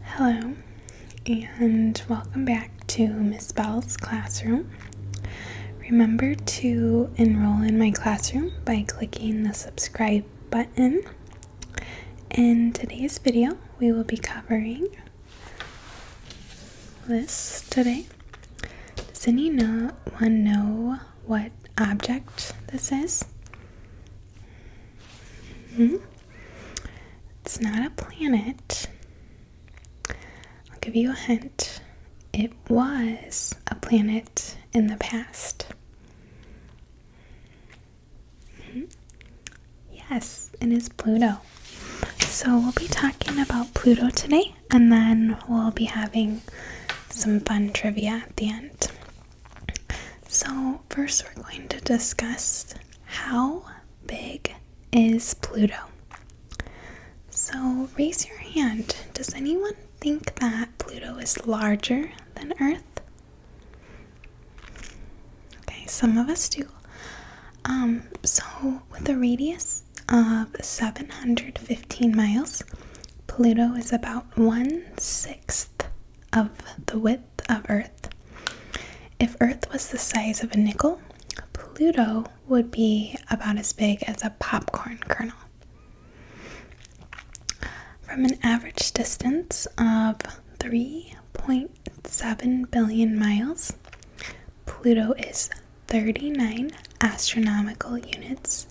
Hello, and welcome back to Miss Bell's classroom. Remember to enroll in my classroom by clicking the subscribe button. In today's video, we will be covering this today. Does anyone know what object this is? -hmm. It's not a planet. I'll give you a hint. It was a planet in the past. Mm-hmm. Yes, it is Pluto. So we'll be talking about Pluto today, and then we'll be having some fun trivia at the end. So, first, we're going to discuss how big is Pluto? So, raise your hand. Does anyone think that Pluto is larger than Earth? Okay, some of us do. Um, so, with a radius of 715 miles, Pluto is about one sixth of the width of Earth. If Earth was the size of a nickel, Pluto would be about as big as a popcorn kernel. From an average distance of 3.7 billion miles, Pluto is 39 astronomical units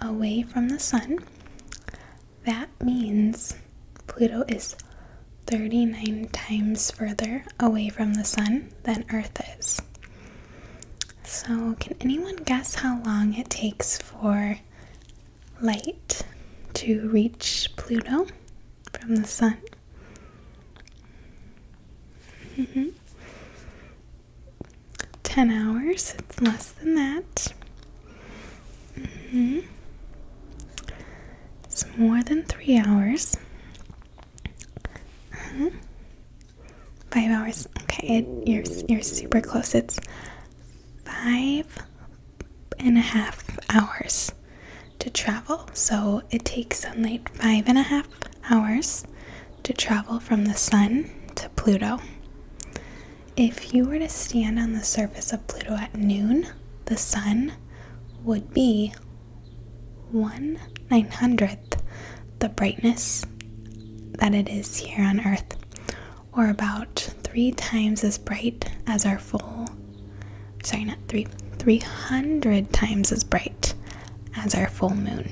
away from the Sun that means Pluto is 39 times further away from the sun than Earth is. So, can anyone guess how long it takes for light to reach Pluto from the sun? Mm-hmm. 10 hours, it's less than that. Mm-hmm. It's more than three hours. Uh-huh. Five hours. Okay, you're you're super close. It's five and a half hours to travel. So it takes sunlight five and a half hours to travel from the sun to Pluto. If you were to stand on the surface of Pluto at noon, the sun would be 1 900th the brightness that it is here on Earth, or about three times as bright as our full, sorry, not three, 300 times as bright as our full moon.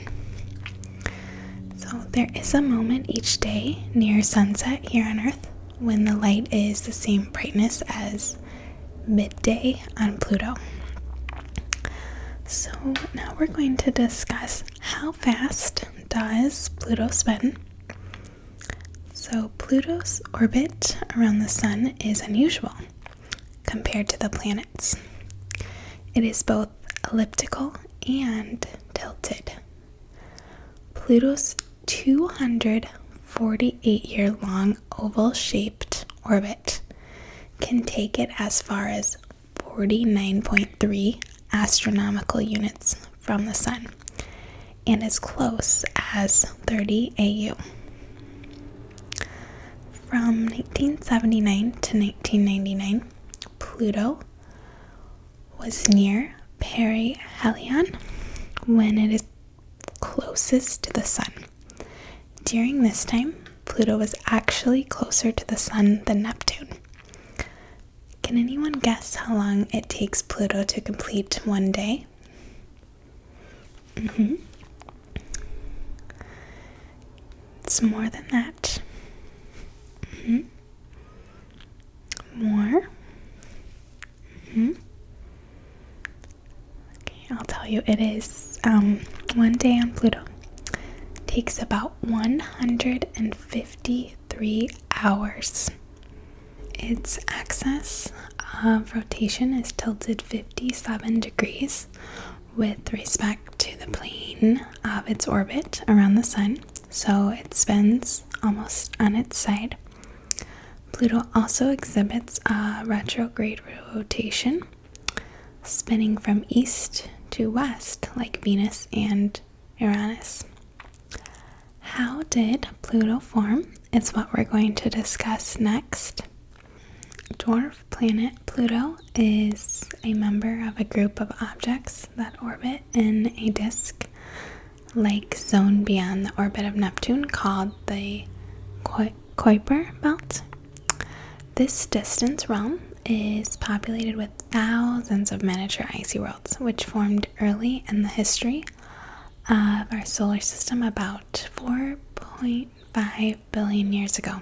So there is a moment each day near sunset here on Earth when the light is the same brightness as midday on Pluto. So now we're going to discuss how fast does Pluto spin. So Pluto's orbit around the sun is unusual compared to the planets. It is both elliptical and tilted. Pluto's 248 year long oval shaped orbit can take it as far as 49.3 astronomical units from the sun and as close as 30 AU. From 1979 to 1999, Pluto was near Perihelion when it is closest to the Sun. During this time, Pluto was actually closer to the Sun than Neptune. Can anyone guess how long it takes Pluto to complete one day? Mm-hmm. It's more than that. Mm-hmm. More. Mm -hmm. Okay, I'll tell you. It is um, one day on Pluto takes about 153 hours. Its axis of rotation is tilted 57 degrees with respect to the plane of its orbit around the sun so it spins almost on its side. Pluto also exhibits a retrograde rotation, spinning from east to west like Venus and Uranus. How did Pluto form? It's what we're going to discuss next. Dwarf planet Pluto is a member of a group of objects that orbit in a disk like zone beyond the orbit of Neptune called the Kuiper Belt. This distance realm is populated with thousands of miniature icy worlds, which formed early in the history of our solar system about 4.5 billion years ago.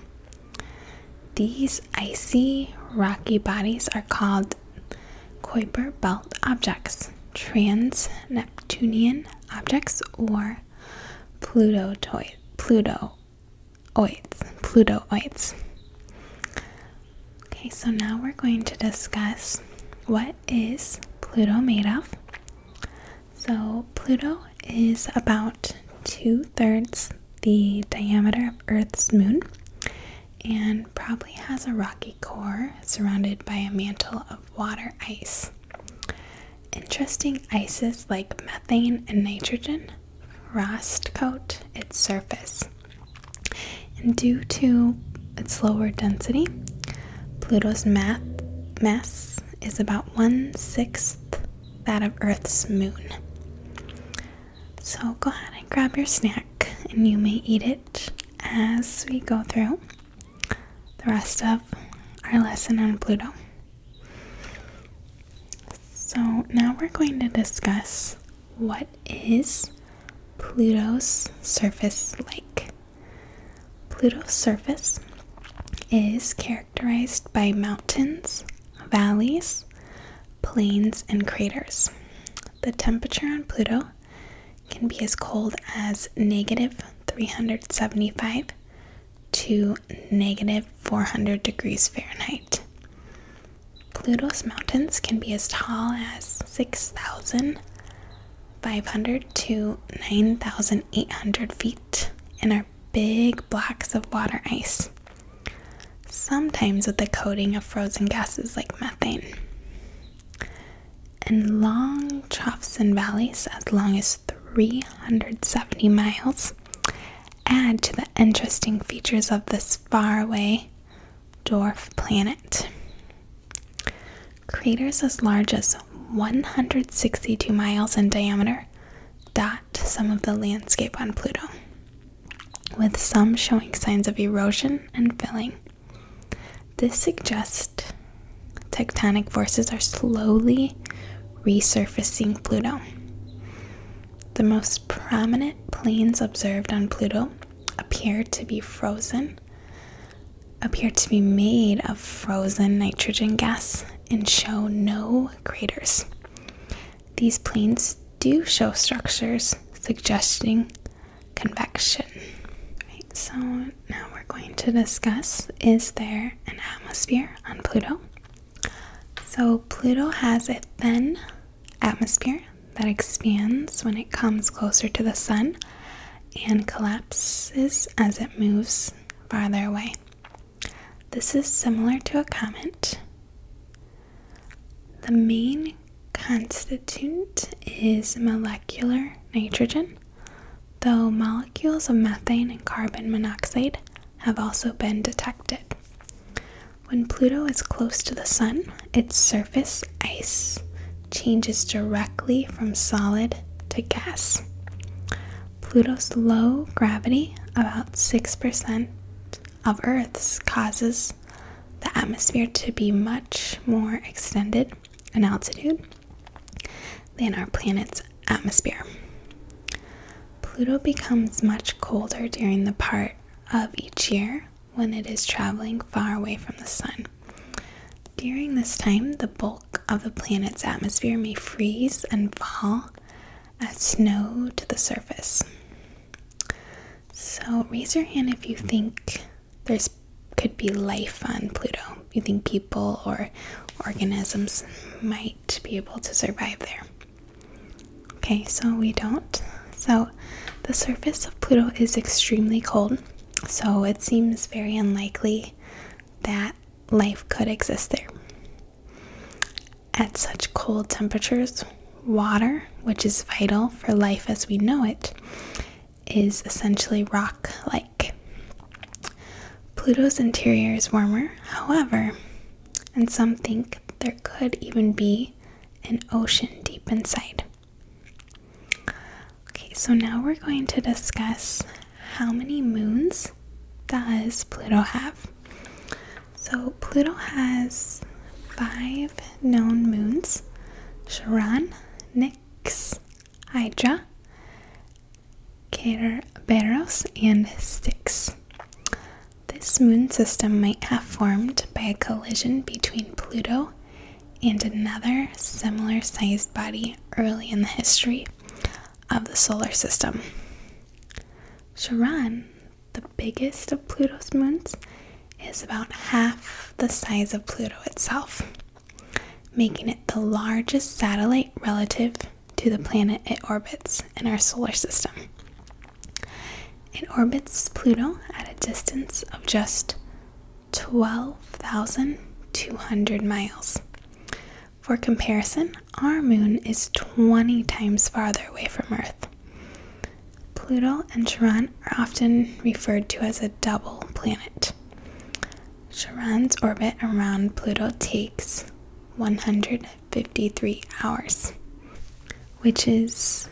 These icy, rocky bodies are called called Kuiper belt objects, trans Neptunian objects, or Plutotoid, Plutoids, Plutoids. Okay, so now we're going to discuss what is Pluto made of. So Pluto is about two thirds the diameter of Earth's moon and probably has a rocky core surrounded by a mantle of water ice. Interesting ices like methane and nitrogen frost coat its surface. And due to its lower density, Pluto's mass is about one sixth that of Earth's moon. So go ahead and grab your snack, and you may eat it as we go through the rest of our lesson on Pluto. So now we're going to discuss what is Pluto's surface like. Pluto's surface is characterized by mountains, valleys, plains, and craters. The temperature on Pluto can be as cold as negative 375 to negative 400 degrees Fahrenheit. Pluto's mountains can be as tall as 6,500 to 9,800 feet and are big blocks of water ice sometimes with a coating of frozen gases like methane. And long troughs and valleys, as long as 370 miles, add to the interesting features of this faraway dwarf planet. Craters as large as 162 miles in diameter dot some of the landscape on Pluto with some showing signs of erosion and filling. This suggests tectonic forces are slowly resurfacing Pluto. The most prominent plains observed on Pluto appear to be frozen, appear to be made of frozen nitrogen gas, and show no craters. These planes do show structures suggesting convection. so now we're going to discuss is there an atmosphere on Pluto? So Pluto has a thin atmosphere that expands when it comes closer to the sun and collapses as it moves farther away. This is similar to a comet the main constituent is molecular nitrogen, though molecules of methane and carbon monoxide have also been detected. When Pluto is close to the Sun, its surface ice changes directly from solid to gas. Pluto's low gravity, about 6%, of Earth's causes the atmosphere to be much more extended in altitude than our planet's atmosphere. Pluto becomes much colder during the part of each year when it is traveling far away from the sun. During this time, the bulk of the planet's atmosphere may freeze and fall as snow to the surface. So raise your hand if you think there's could be life on Pluto. You think people or organisms might be able to survive there. Okay, so we don't. So the surface of Pluto is extremely cold, so it seems very unlikely that life could exist there. At such cold temperatures, water, which is vital for life as we know it, is essentially rock like. Pluto's interior is warmer, however, and some think there could even be an ocean deep inside. Okay, so now we're going to discuss how many moons does Pluto have? So Pluto has five known moons Charon, Nix, Hydra, Kerberos, and Styx. This moon system might have formed by a collision between Pluto and another similar sized body early in the history of the solar system. Charon the biggest of Pluto's moons, is about half the size of Pluto itself, making it the largest satellite relative to the planet it orbits in our solar system. It orbits Pluto at a distance of just 12,200 miles. For comparison, our moon is 20 times farther away from Earth. Pluto and Charon are often referred to as a double planet. Charon's orbit around Pluto takes 153 hours, which is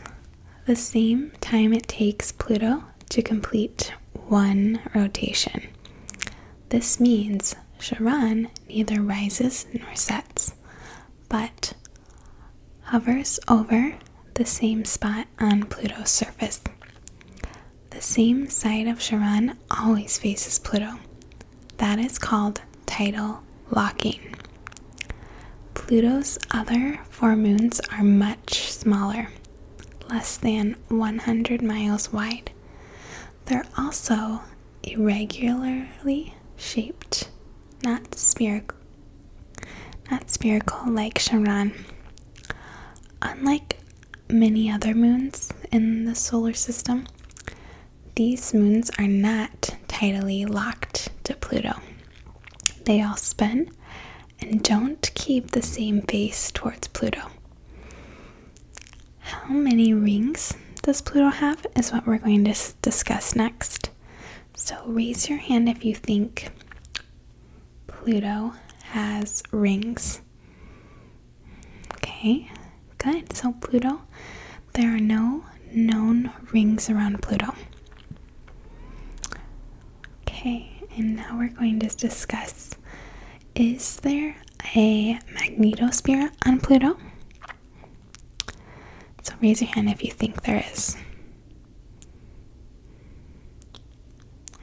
the same time it takes Pluto to complete one rotation. This means Charon neither rises nor sets, but hovers over the same spot on Pluto's surface. The same side of Charon always faces Pluto. That is called tidal locking. Pluto's other four moons are much smaller, less than 100 miles wide. They're also irregularly shaped, not spherical, like Shimran. Unlike many other moons in the solar system, these moons are not tidally locked to Pluto. They all spin and don't keep the same face towards Pluto. How many rings does Pluto have is what we're going to discuss next. So raise your hand if you think Pluto has rings. Okay, good. So Pluto, there are no known rings around Pluto. Okay, and now we're going to discuss is there a magnetosphere on Pluto? So raise your hand if you think there is.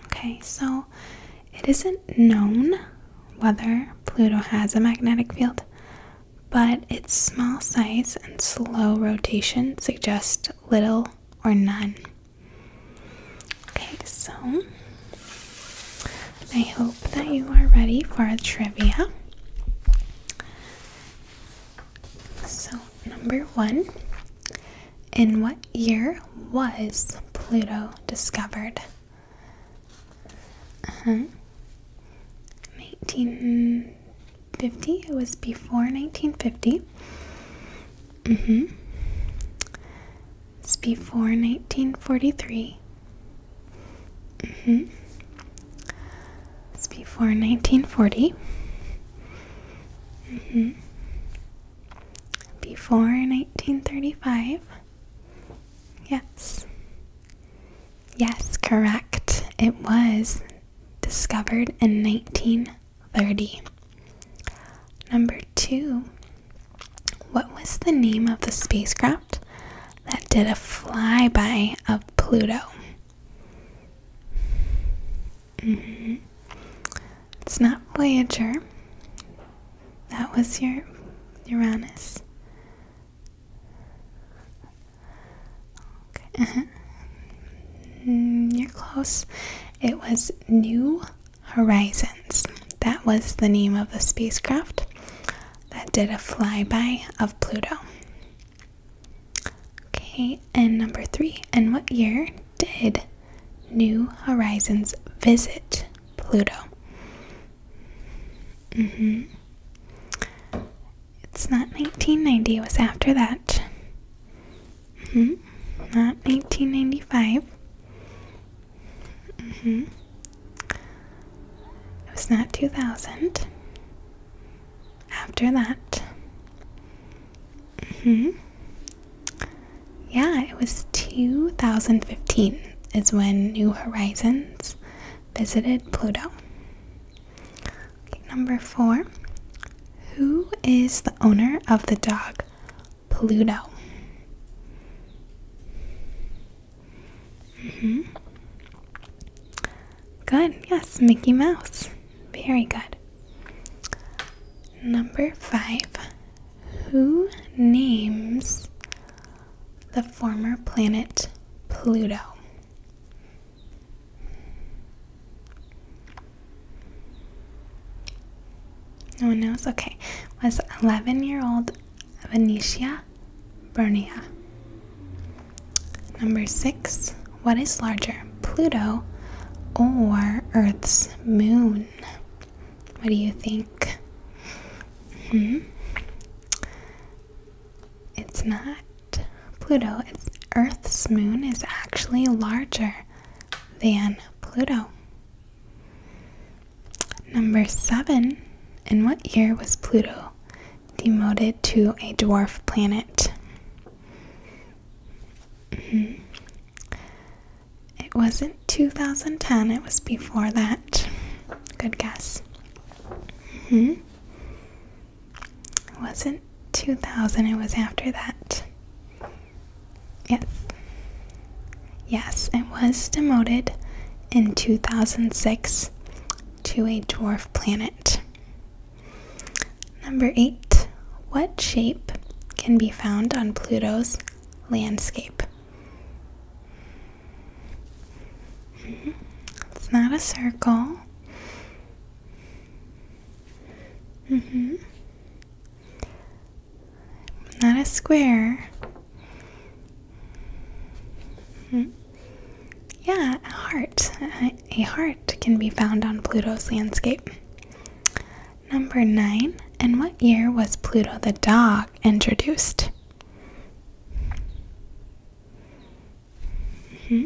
Okay, so it isn't known whether Pluto has a magnetic field, but its small size and slow rotation suggest little or none. Okay, so I hope that you are ready for a trivia. So, number one In what year was Pluto discovered? 1950? Uh-huh. It was before 1950. Mm-hmm. It's before 1943. Mm-hmm. It's before 1940. Mm-hmm. Before 1935. Yes. Yes, correct. It was discovered in 1930. Number two, what was the name of the spacecraft that did a flyby of Pluto? Mm-hmm. It's not Voyager. That was your Uranus. Okay. Uh-huh. Mm, you're close. It was New Horizons. That was the name of the spacecraft that did a flyby of Pluto. Okay, and number three, and what year did New Horizons visit Pluto? Mm-hmm. It's not 1990, it was after that. Mm hmm. Not 1995. Mm-hmm. It was not 2000. After that. hmm Yeah, it was 2015 is when New Horizons visited Pluto. number four. Who is the owner of the dog Pluto? Mm-hmm. Good. Yes, Mickey Mouse. Very good. Number five. Who names the former planet Pluto? No one knows? Okay. Was 11 year old Venetia bernia. Number six, what is larger, Pluto or Earth's moon? What do you think? Hmm? It's not Pluto, it's Earth's moon is actually larger than Pluto. Number seven. In what year was Pluto demoted to a dwarf planet? Mm-hmm. It wasn't 2010, it was before that. Good guess. Mm-hmm. It wasn't 2000, it was after that. Yes. Yes, it was demoted in 2006 to a dwarf planet. Number eight, what shape can be found on Pluto's landscape? Hmm, it's not a circle. Mm-hmm. Not a square. Hmm. Yeah, a heart. A heart can be found on Pluto's landscape. Number nine. In what year was Pluto the dog introduced? Hmm.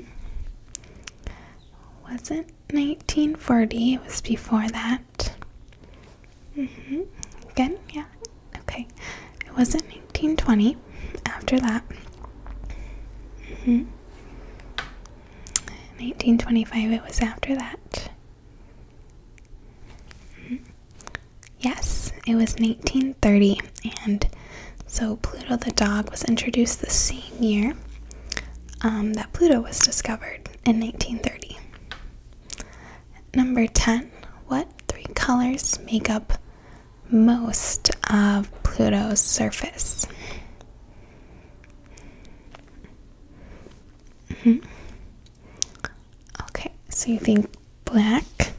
Wasn't 1940, it was before that. Again, mm-hmm. yeah. Okay. It wasn't 1920 after that. 1925, mm-hmm. it was after that. Mm-hmm. Yes, it was 1930, and so Pluto the dog was introduced the same year um, that Pluto was discovered in 1930. Number 10. What three colors make up most of Pluto's surface? -hmm. Okay, so you think black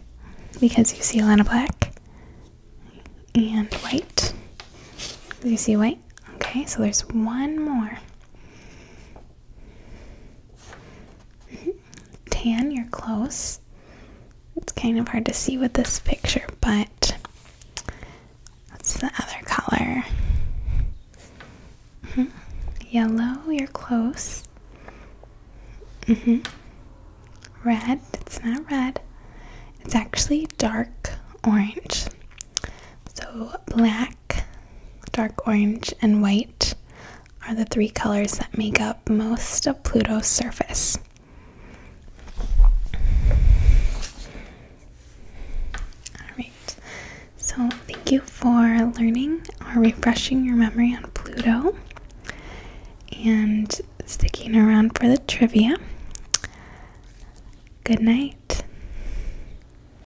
because you see a lot of black and white. you see white? Okay, so there's one more. Tan, you're close. It's kind of hard to see with this picture, but what's the other color? Mm-hmm. Yellow, you're close. Mm-hmm. Red, it's not red. It's actually dark orange. So black dark orange, and white are the three colors that make up most of Pluto's surface. Alright, so thank you for learning or refreshing your memory on Pluto and sticking around for the trivia. Good night.